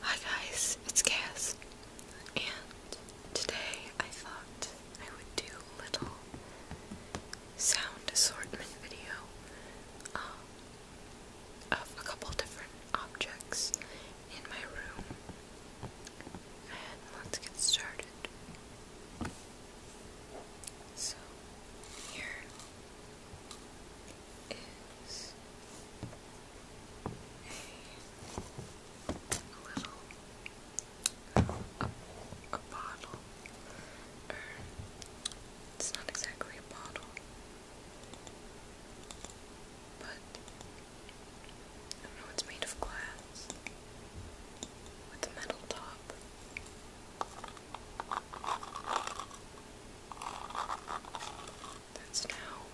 Hi guys, it's Cass, and today I thought I would do a little sound assortment video um, of a couple different objects in my room, and let's get started. So, here is a little a, bottle, it's not exactly a bottle, but I don't know, it's made of glass with a metal top that's now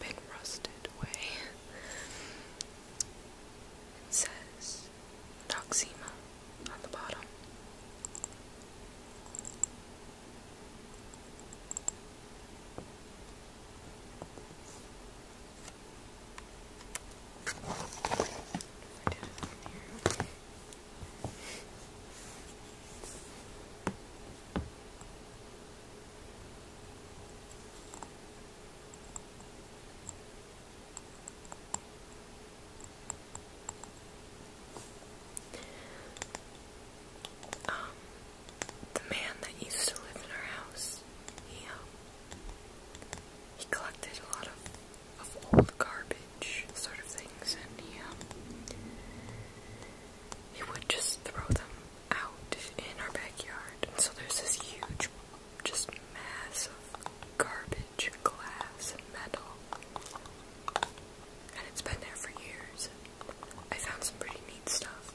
been rusted away. It says Noxema on the bottom. Um, the man that used to live in our house, he, um, he collected a lot of, of old garbage sort of things, and he, um, he would just throw them out in our backyard. And so there's this huge, just mass of garbage and glass and metal. And it's been there for years. I found some pretty neat stuff.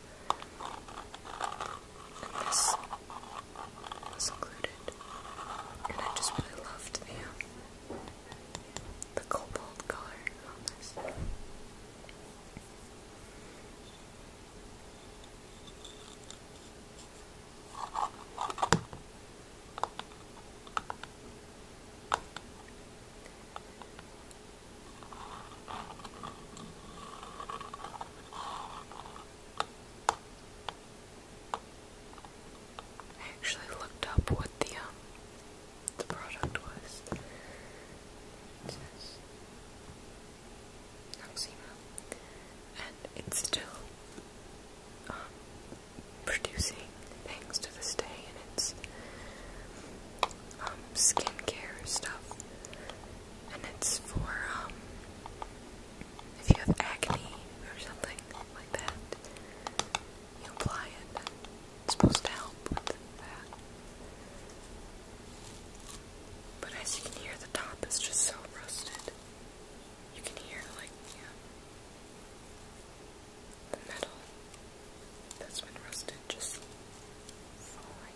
And this was included. And I just really loved the um, the cobalt color on this. I actually looked up what the um, the product was. says Noxema. And it's still um, producing things to this day, and it's um, skincare stuff. And it's for um, if you have acne or something like that you apply it. It's supposed to help with that. But as you can hear, the top is just so rusted. You can hear, like, the metal that's been rusted just falling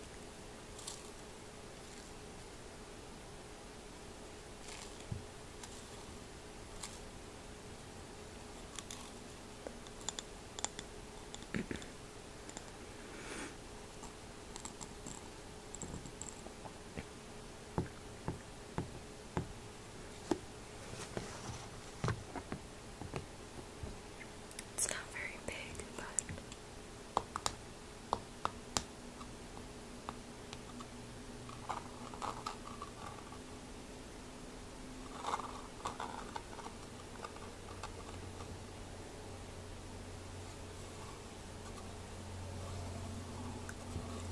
it's not very big, but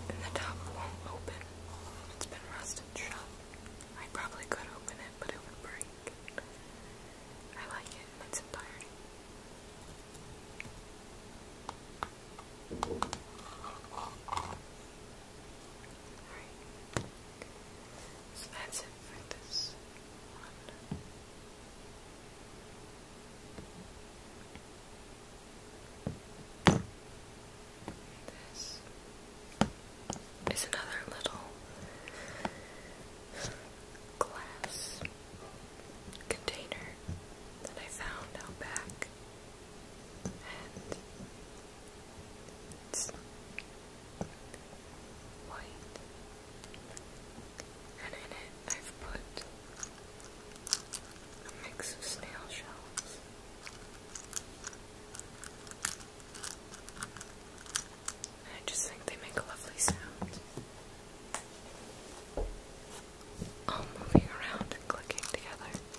the top won't open. It's been rusted shut. I probably could open it, but it would break. I like it its entirety. Alright. So that's it for this one. This is another little glass container that I found out back and white, and in it I've put a mix of snail shells. I just think they make a lovely sound. All moving around and clicking together.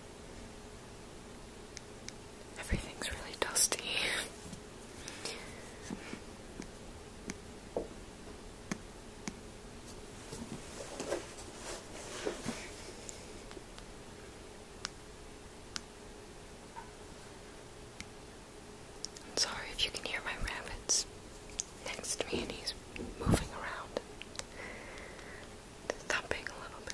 Everything's really dusty. sorry if you can hear my rabbits next to me and he's moving around thumping a little bit.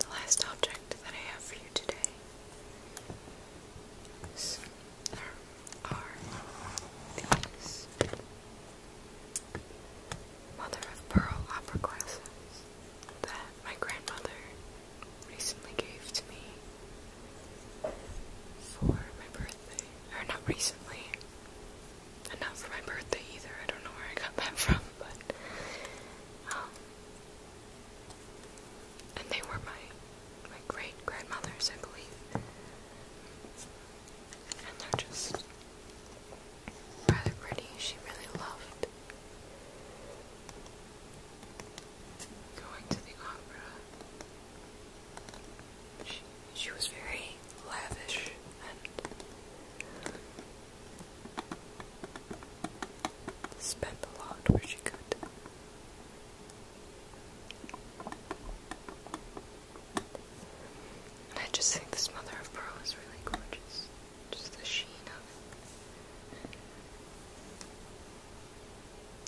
The last object that I have for you today are these mother of pearl opera glasses that my grandmother recently gave to me for my birthday. Or not recently. not for my birthday either. I don't know where I got that from, but. Um, and they were my my great grandmothers, I believe. And they're just rather pretty. She really loved going to the opera. She, was very lavish and spent a lot where she could. And I just think this mother of pearl is really gorgeous. Just the sheen of it.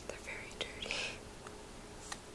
They're very dirty.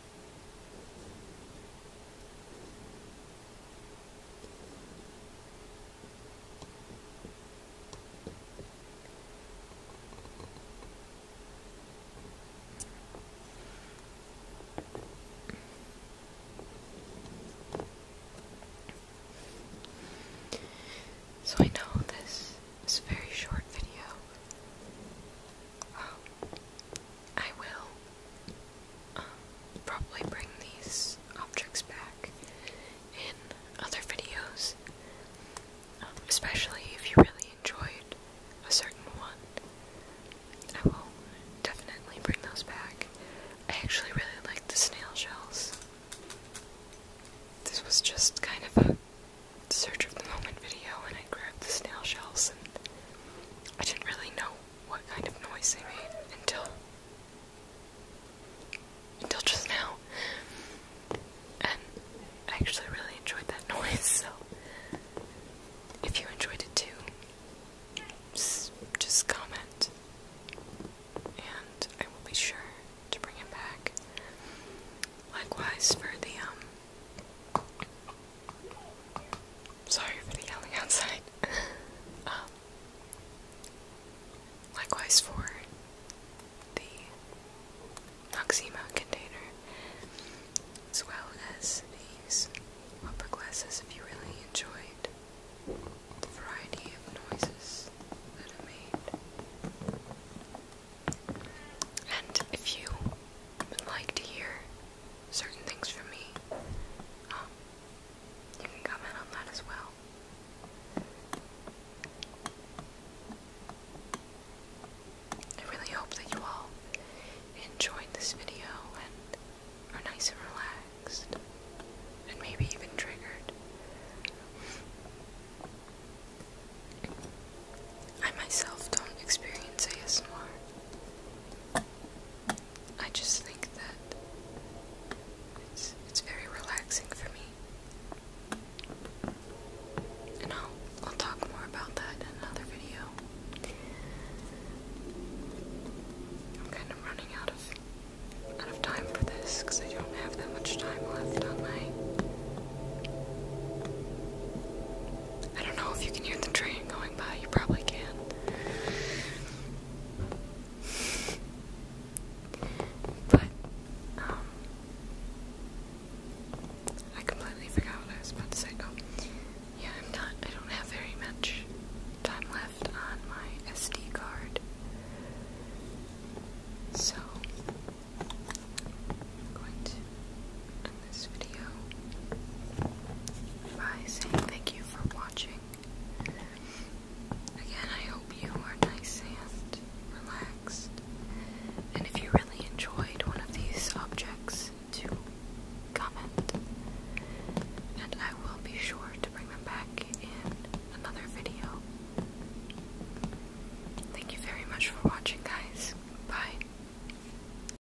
So I know this is a very short video. Um, I will um, probably bring these objects back in other videos, um, especially if you really enjoyed a certain one. I will definitely bring those back. I actually really like the snail shells. This was just kind of a search of the moment video, and I grabbed the snail shells, and I didn't really know what kind of noise they made until until just now. And I actually really enjoyed that noise, so if you enjoyed it too, just comment. And I will be sure to bring it back. Likewise for the um Sorry for the yelling outside. Um, likewise for the Noxema container, as well as these upper glasses if you really enjoyed the variety of noises that I made. And if you would like to hear certain things for me, um, you can comment on that as well. I really hope that you all enjoyed this video and are nice and relaxed, and maybe even triggered. I myself don't experience ASMR. I just think that it's it's very relaxing for me. And i I'll talk more about that in another video. I'm kind of running out of out of time for this because I don't have that much time left on my I don't know if you can hear the train going you probably can. But, um, I completely forgot what I was about to say. Oh, yeah, I'm not, I don't have very much time left on my SD card. So, I'm going to, this video by saying thank you for watching. Again, I hope you are nice and relaxed. And if you really enjoyed one of these subjects, to comment. And I will be sure to bring them back in another video. Thank you very much for watching, guys. Bye.